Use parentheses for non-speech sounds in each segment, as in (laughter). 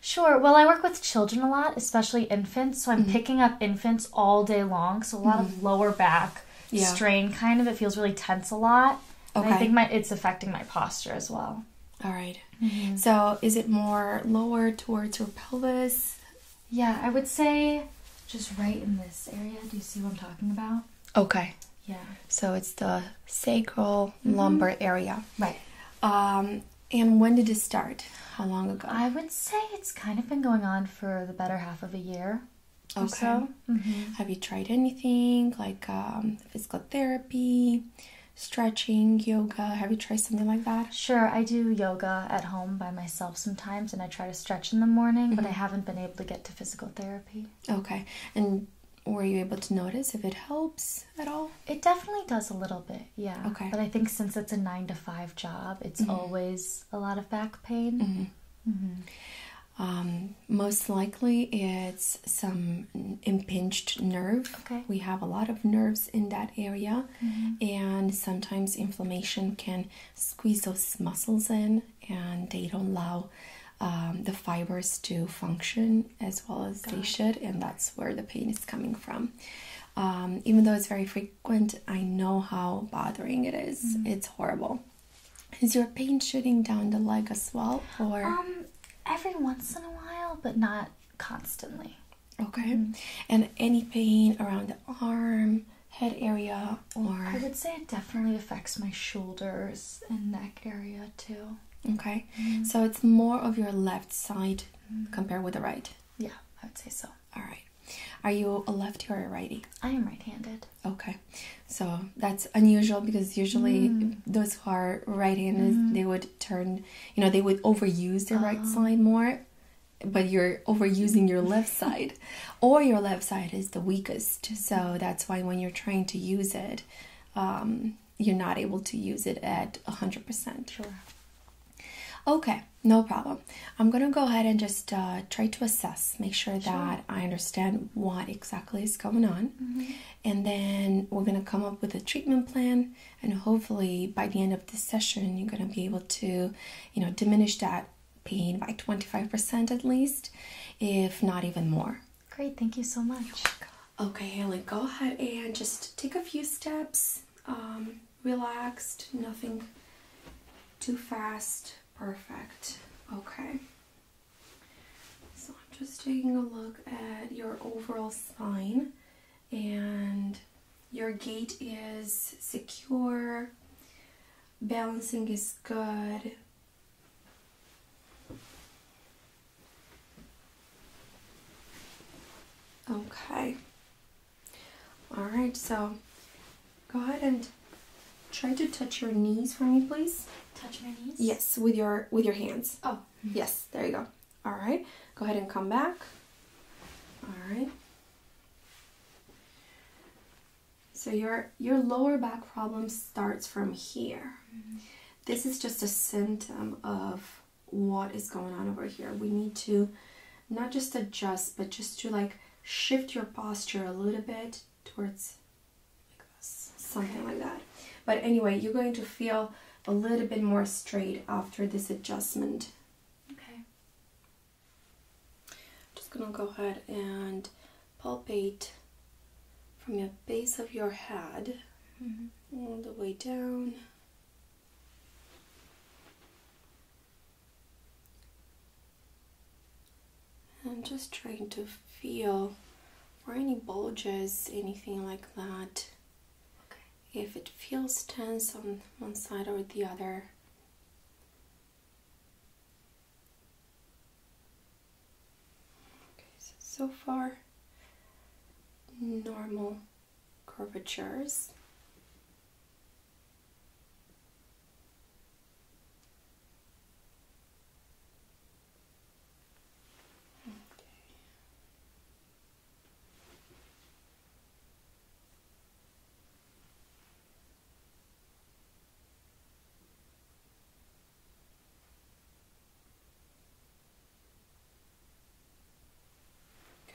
Sure. Well, I work with children a lot, especially infants. So I'm mm-hmm. picking up infants all day long. So a lot of mm-hmm. lower back strain, kind of. It feels really tense a lot. Okay. I think my it's affecting my posture as well. All mm-hmm. So is it more lower towards your pelvis? Yeah, I would say just right in this area. Do you see what I'm talking about? Okay. Yeah. So it's the sacral mm-hmm. lumbar area. Right. Um, and when did it start? How long ago? I would say it's kind of been going on for the better half of a year. Okay. So. Mm-hmm. Have you tried anything like um, physical therapy, stretching, yoga? Have you tried something like that? Sure, I do yoga at home by myself sometimes, and I try to stretch in the morning, but I mm-hmm. haven't been able to get to physical therapy. Okay. And were you able to notice if it helps at all? It definitely does a little bit, yeah. Okay. But I think since it's a nine to five job, it's mm-hmm. always a lot of back pain. Mm-hmm. Mm-hmm. Um, most likely, it's some impinged nerve. Okay. We have a lot of nerves in that area, and sometimes inflammation can squeeze those muscles in, and they don't allow um, the fibers to function as well as they should, and that's where the pain is coming from. Um, even though it's very frequent, I know how bothering it is. Mm-hmm. It's horrible. Is your pain shooting down the leg as well, or um, every once in a while, but not constantly? Okay. Mm-hmm. And any pain around the arm, head area or I would say it definitely affects my shoulders and neck area too. Okay. Mm-hmm. So it's more of your left side mm-hmm. compared with the right. Yeah, I would say so. All right. Are you a lefty or a righty? I am right-handed. Okay. So that's unusual because usually mm-hmm. those who are right-handed they would turn, you know, they would overuse their right oh. side more but you're overusing your left side or your left side is the weakest so that's why when you're trying to use it um, you're not able to use it at 100% sure okay no problem i'm gonna go ahead and just uh, try to assess make sure, that i understand what exactly is going on mm-hmm. and then we're gonna come up with a treatment plan and hopefully by the end of this session you're gonna be able to you know diminish that pain by 25% at least, if not even more. Great, thank you so much. Okay, Haley, go ahead and just take a few steps, um, relaxed, nothing too fast. Perfect. Okay. So I'm just taking a look at your overall spine and your gait is secure balancing is good. Okay. All right, so go ahead and try to touch your knees for me, please. Touch my knees? Yes, with your with your hands. Oh. (laughs) Yes, there you go. All right. Go ahead and come back. All right. So your your lower back problem starts from here. Mm-hmm. This is just a symptom of what is going on over here. We need to not just adjust, but just to like shift your posture a little bit towards something like that. But anyway, you're going to feel a little bit more straight after this adjustment. Okay. I'm just gonna go ahead and palpate from the base of your head mm-hmm. all the way down. I'm just trying to feel for any bulges, anything like that. If it feels tense on one side or the other, so far, normal curvatures.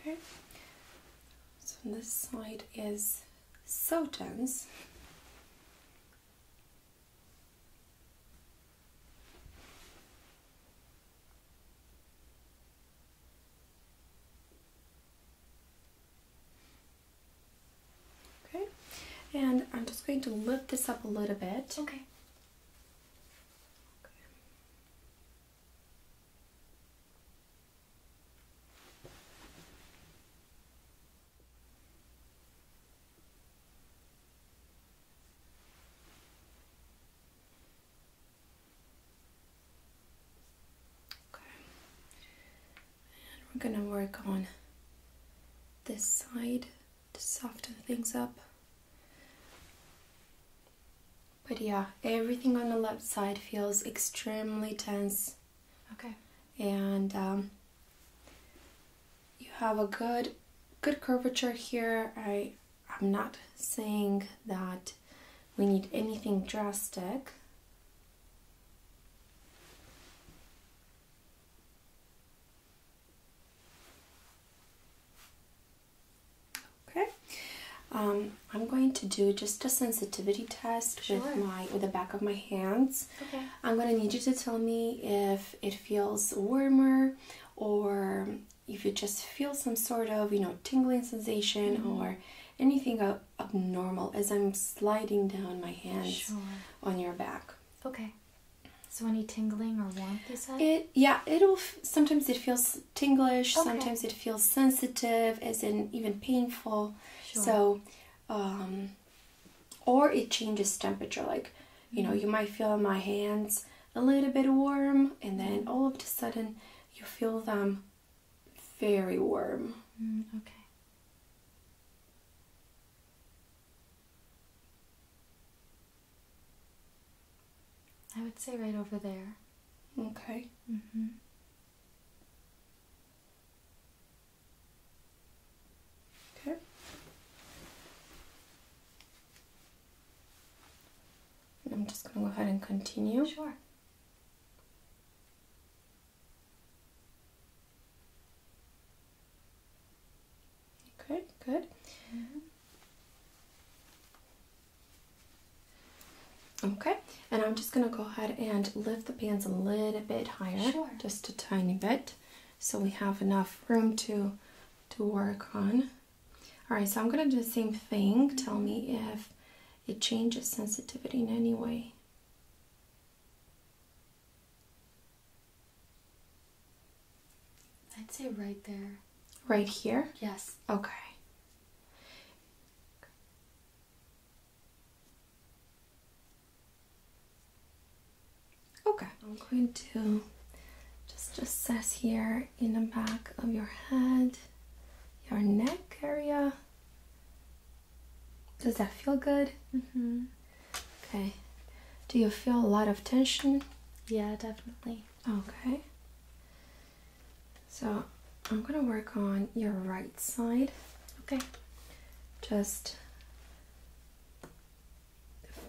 Okay, so this side is so dense. Okay, and I'm just going to lift this up a little bit. Okay. Okay. And we're going to work on this side to soften things up. But yeah, everything on the left side feels extremely tense. Okay. And um, you have a good, good curvature here. I, I'm not saying that we need anything drastic. Okay, um, I'm going to do just a sensitivity test with my with the back of my hands. Okay, I'm going to need you to tell me if it feels warmer or if you just feel some sort of you know tingling sensation mm-hmm. or anything abnormal as I'm sliding down my hands on your back. Okay. So any tingling or warmth you It yeah, it'll sometimes it feels tinglish, sometimes it feels sensitive, as in even painful. Sure. So, um, or it changes temperature. Like, you know, mm-hmm. you might feel my hands a little bit warm, and then all of a sudden you feel them very warm. Mm, okay. I would say right over there. Okay. Mm-hmm. Okay. I'm just going to go ahead and continue. Sure. Okay. good. Okay, and I'm just going to go ahead and lift the pants a little bit higher, just a tiny bit, so we have enough room to to work on. All right, so I'm going to do the same thing. Tell me if it changes sensitivity in any way. I'd say right there. Right here? Yes. Okay. Okay. I'm going to just just assess here in the back of your head your neck area. Does that feel good? -hmm. Okay. Do you feel a lot of tension? Yeah, definitely. Okay. So I'm gonna work on your right side. Okay. Just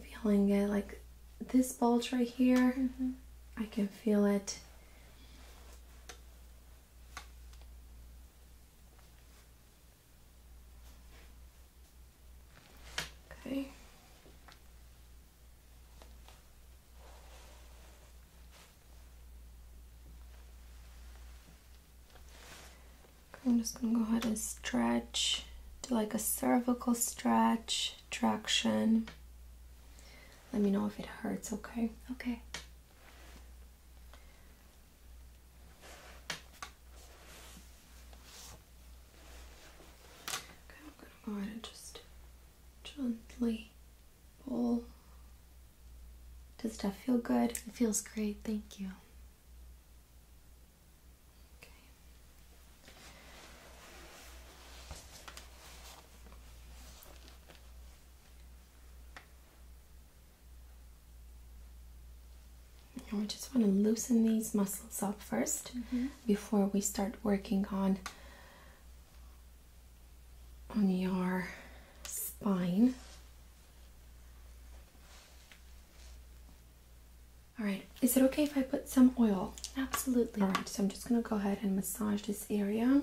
feeling it like this bulge right here. Mm-hmm. I can feel it Okay. I'm just going to go ahead and stretch, do like a cervical stretch, traction. Let me know if it hurts, okay? Okay. Okay, I'm gonna go ahead and just gently pull. Does that feel good? It feels great, thank you. Okay. I just want to loosen these muscles up 1st mm-hmm. before we start working on on your spine. All right, is it okay if I put some oil? Absolutely. All right, so I'm just going to go ahead and massage this area.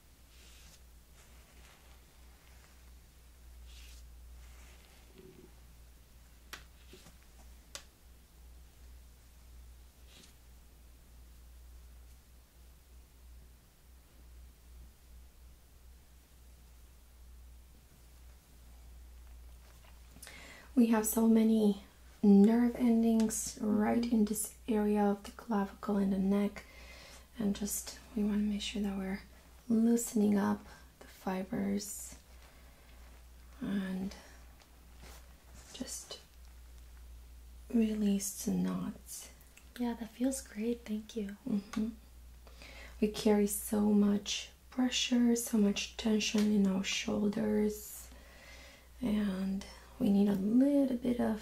We have so many nerve endings right in this area of the clavicle and the neck and just we want to make sure that we're loosening up the fibers and just release the knots. Yeah, that feels great. Thank you. Mm-hmm. We carry so much pressure, so much tension in our shoulders, and we need a little bit of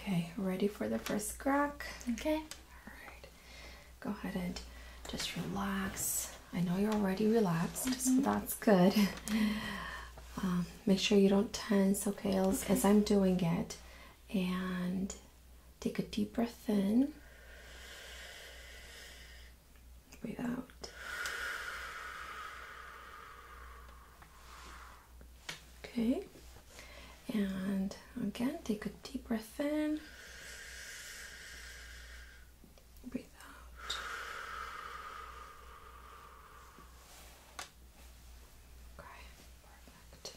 Okay, ready for the first crack? Okay. All right. Go ahead and just relax. I know you're already relaxed, so mm-hmm. that's good. Um, make sure you don't tense, okay, as I'm doing it. And Take a deep breath in. Breathe out. Okay. And again, take a deep breath in. Breathe out. Okay, perfect.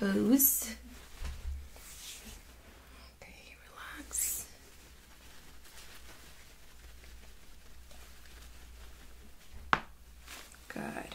toes. Okay, relax. Good.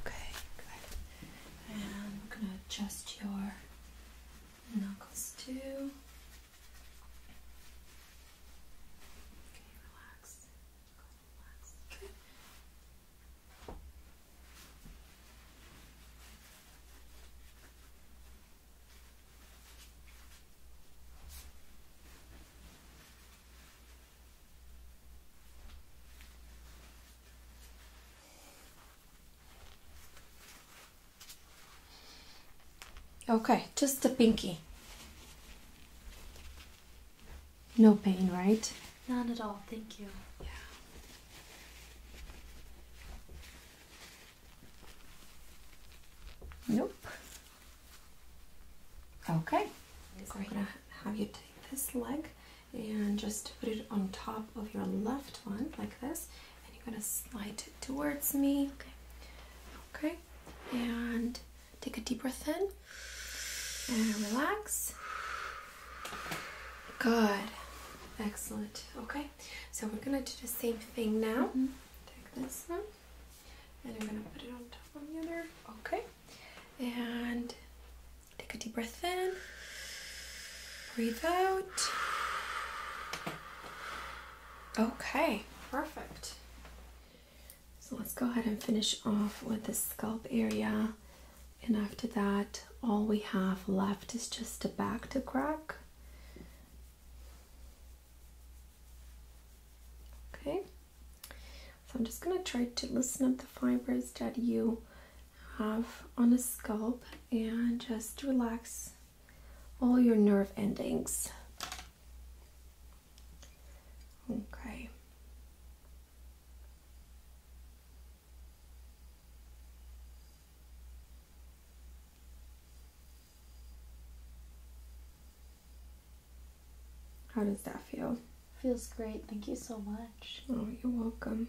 Okay, good. And I'm gonna adjust your knuckles too. Okay, relax. Good. Okay, just the pinky. No pain, right? None at all, thank you. Yeah. Nope. Okay. So I'm going to have you take this leg and just put it on top of your left one like this. And you're going to slide it towards me. Okay. Okay. And take a deep breath in. And relax. Good. Excellent. Okay. So we're going to do the same thing now. Mm-hmm take this one and I'm gonna put it on top of the other. Okay. And take a deep breath in. Breathe out. Okay, perfect. So let's go ahead and finish off with the scalp area. And after that, all we have left is just the back to crack. Okay, so I'm just going to try to loosen up the fibers that you have on the scalp and just relax all your nerve endings. Okay. How does that feel? Feels great. Thank you so much. Oh, you're welcome.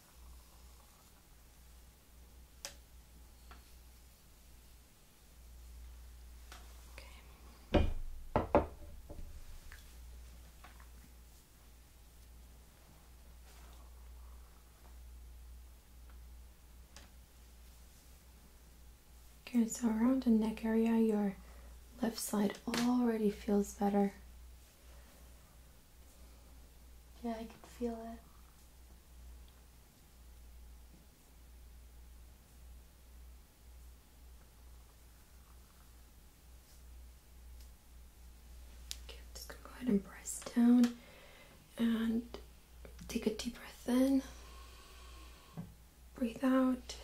Okay. Okay, so around the neck area, your left side already feels better. Yeah, I can feel it. Okay, I'm just gonna go ahead and press down and take a deep breath in, breathe out.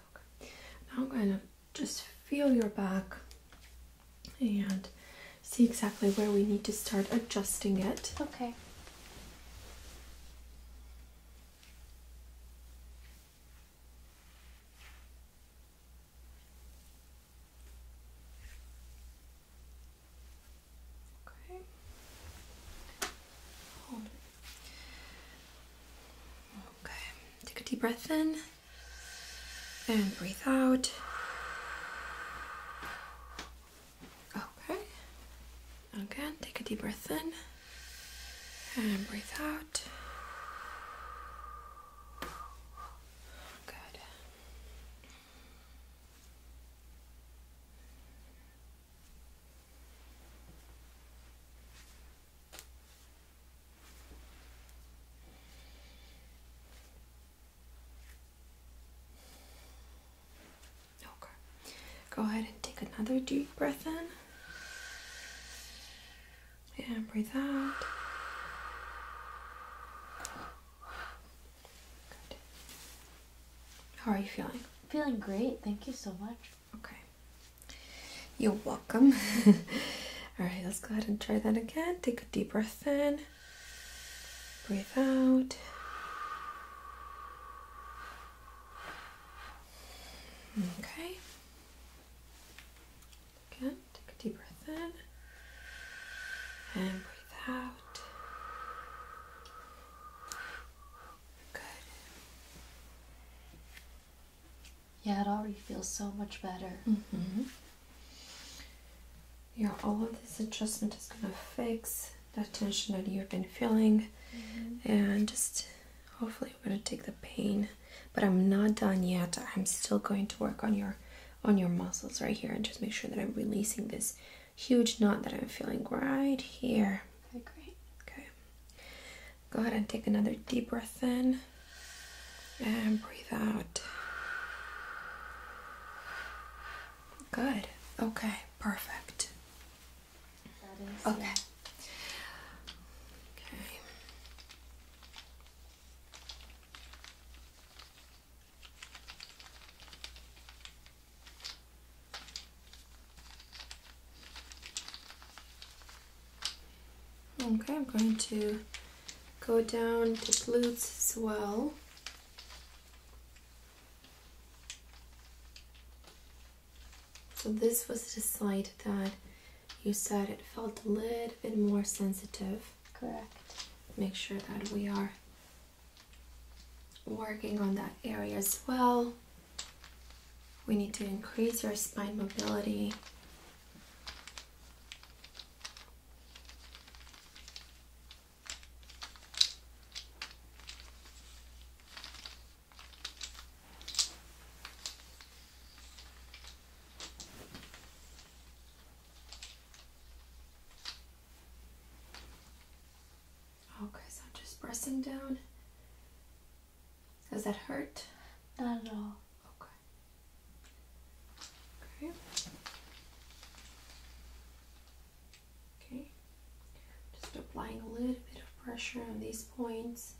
Okay, now I'm gonna just feel your back and see exactly where we need to start adjusting it. Okay. Okay. Hold it. Okay. Take a deep breath in and breathe out. Okay. Again, take a deep breath in and breathe out. Good. Okay. Go ahead and take another deep breath in and breathe out. Good. How are you feeling? Feeling great. Thank you so much. Okay. You're welcome. (laughs) All right, let's go ahead and try that again. Take a deep breath in, breathe out. Okay. Again, take a deep breath in and breathe out. Good. Yeah, it already feels so much better. Mm-hmm. Yeah, all of this adjustment is going to fix that tension that you've been feeling mm-hmm. and just hopefully I'm going to take the pain. But I'm not done yet. I'm still going to work on your on your muscles right here and just make sure that I'm releasing this huge knot that I'm feeling right here. Okay, Okay. Go ahead and take another deep breath in and breathe out. Good. Okay, perfect. okay. Okay, I'm going to go down the glutes as well. So this was the side that you said it felt a little bit more sensitive. Correct. Make sure that we are working on that area as well. We need to increase your spine mobility Okay, oh, so I'm just pressing down does that hurt? Not at all. Okay. Okay. Okay. Just applying a little bit of pressure on these points.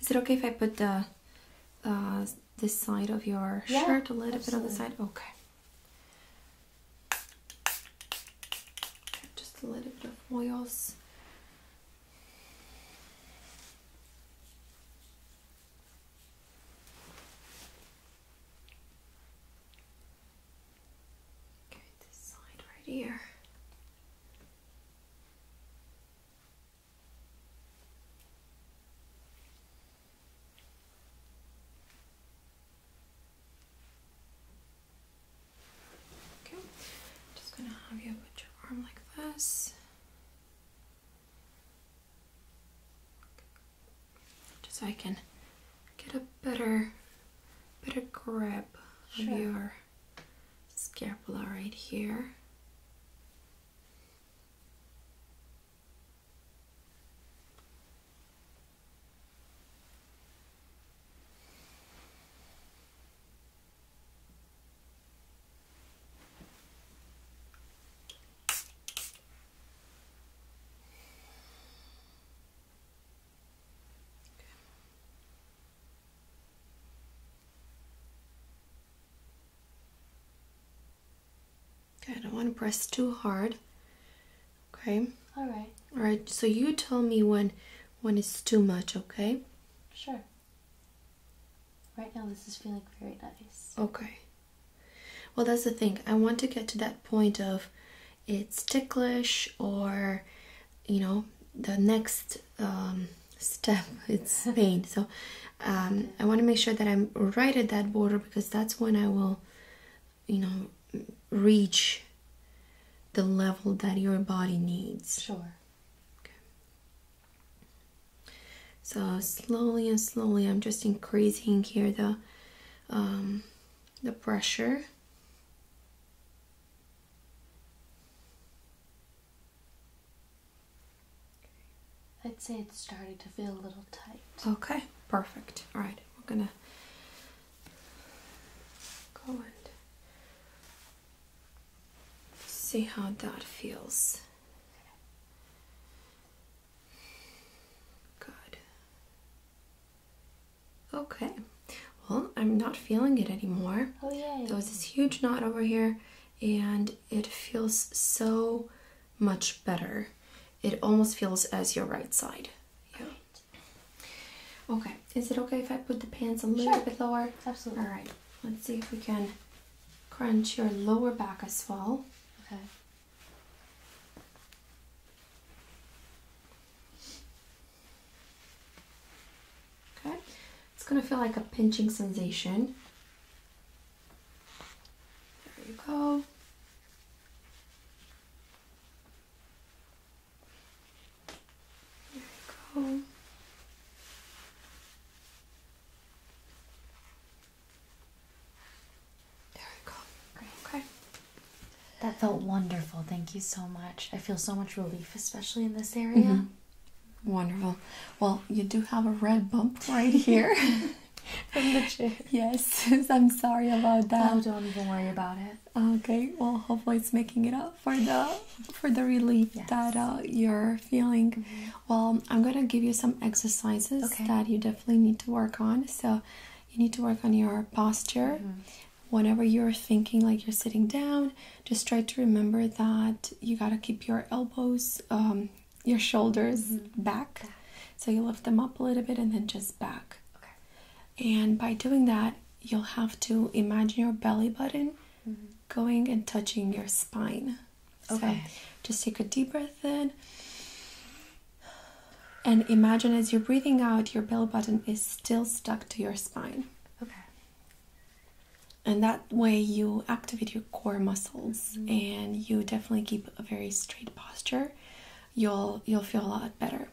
Is it okay if I put the uh, this side of your shirt a little bit on the side? Okay. Just a little bit of oils Go this side right here. Okay, just gonna have you put your arm like this. Just so I can get a better better grip of your scapula right here. Okay, I don't want to press too hard. Okay. All right. All right. So you tell me when when it's too much, okay? Sure. Right now, this is feeling very nice. Okay. Well, that's the thing. I want to get to that point of it's ticklish or, you know, the next um, step, (laughs) it's (laughs) pain. so um, I want to make sure that I'm right at that border because that's when I will, you know, reach the level that your body needs. Sure. Okay so slowly and slowly I'm just increasing here the um, the pressure I'd say it's starting to feel a little tight. Okay, perfect. All right, we're gonna go and See how that feels. Good. Okay. Well, I'm not feeling it anymore. Oh, yeah. There was this huge knot over here, and it feels so much better. It almost feels as your right side. Yeah. Okay, is it okay if I put the pants a little bit lower? Absolutely. All right. Let's see if we can crunch your lower back as well. Okay. Okay. It's going to feel like a pinching sensation. There you go. There we go. There we go. Great. Okay. That felt wonderful. Thank you so much. I feel so much relief, especially in this area. Mm-hmm. Wonderful. Well, you do have a red bump right here. (laughs) From the chair. Yes, (laughs) I'm sorry about that. Oh, don't even worry about it. Okay, well, hopefully it's making it up for the for the relief that uh, you're feeling. Mm-hmm. Well, I'm gonna give you some exercises that you definitely need to work on. So you need to work on your posture. Mm-hmm. Whenever you're thinking like you're sitting down, just try to remember that you gotta keep your elbows, um, your shoulders mm-hmm. back. So you lift them up a little bit and then just back. Okay. And by doing that, you'll have to imagine your belly button going and touching your spine. Okay. just take a deep breath in. And imagine as you're breathing out, your bell button is still stuck to your spine. Okay. And that way you activate your core muscles mm-hmm. and you definitely keep a very straight posture. You'll you'll feel a lot better.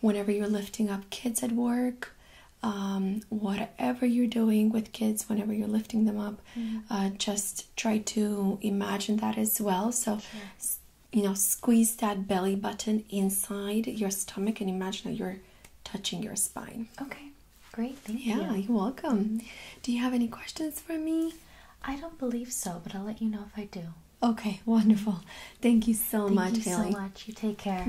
Whenever you're lifting up kids at work, um, whatever you're doing with kids, whenever you're lifting them up, mm. uh, just try to imagine that as well. So, you know, squeeze that belly button inside your stomach and imagine that you're touching your spine. Okay, great. Thank yeah, you. Yeah, you're welcome. Do you have any questions for me? I don't believe so, but I'll let you know if I do. Okay, wonderful. Thank you so much, Haley. so much. You take care. (laughs)